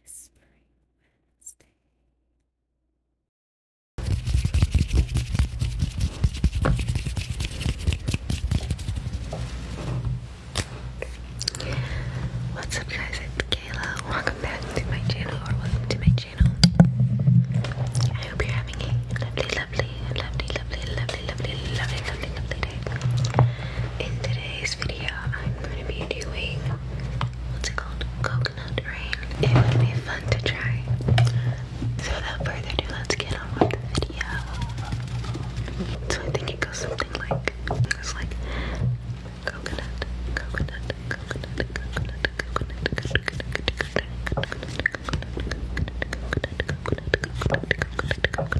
What's up, guys? It's Kayla. Welcome back to my channel, or welcome to my channel. I hope you're having a lovely, lovely, lovely, lovely, lovely, lovely, lovely, lovely, lovely day. In today's video, I'm going to be doing what's it called? Coconut rain. It would be fun to try. So, without further ado, let's get on with the video. So, I think it goes something like it's like coconut, coconut, coconut, coconut, coconut, coconut, coconut, coconut, coconut, coconut, coconut, coconut, coconut, coconut, coconut, coconut, coconut,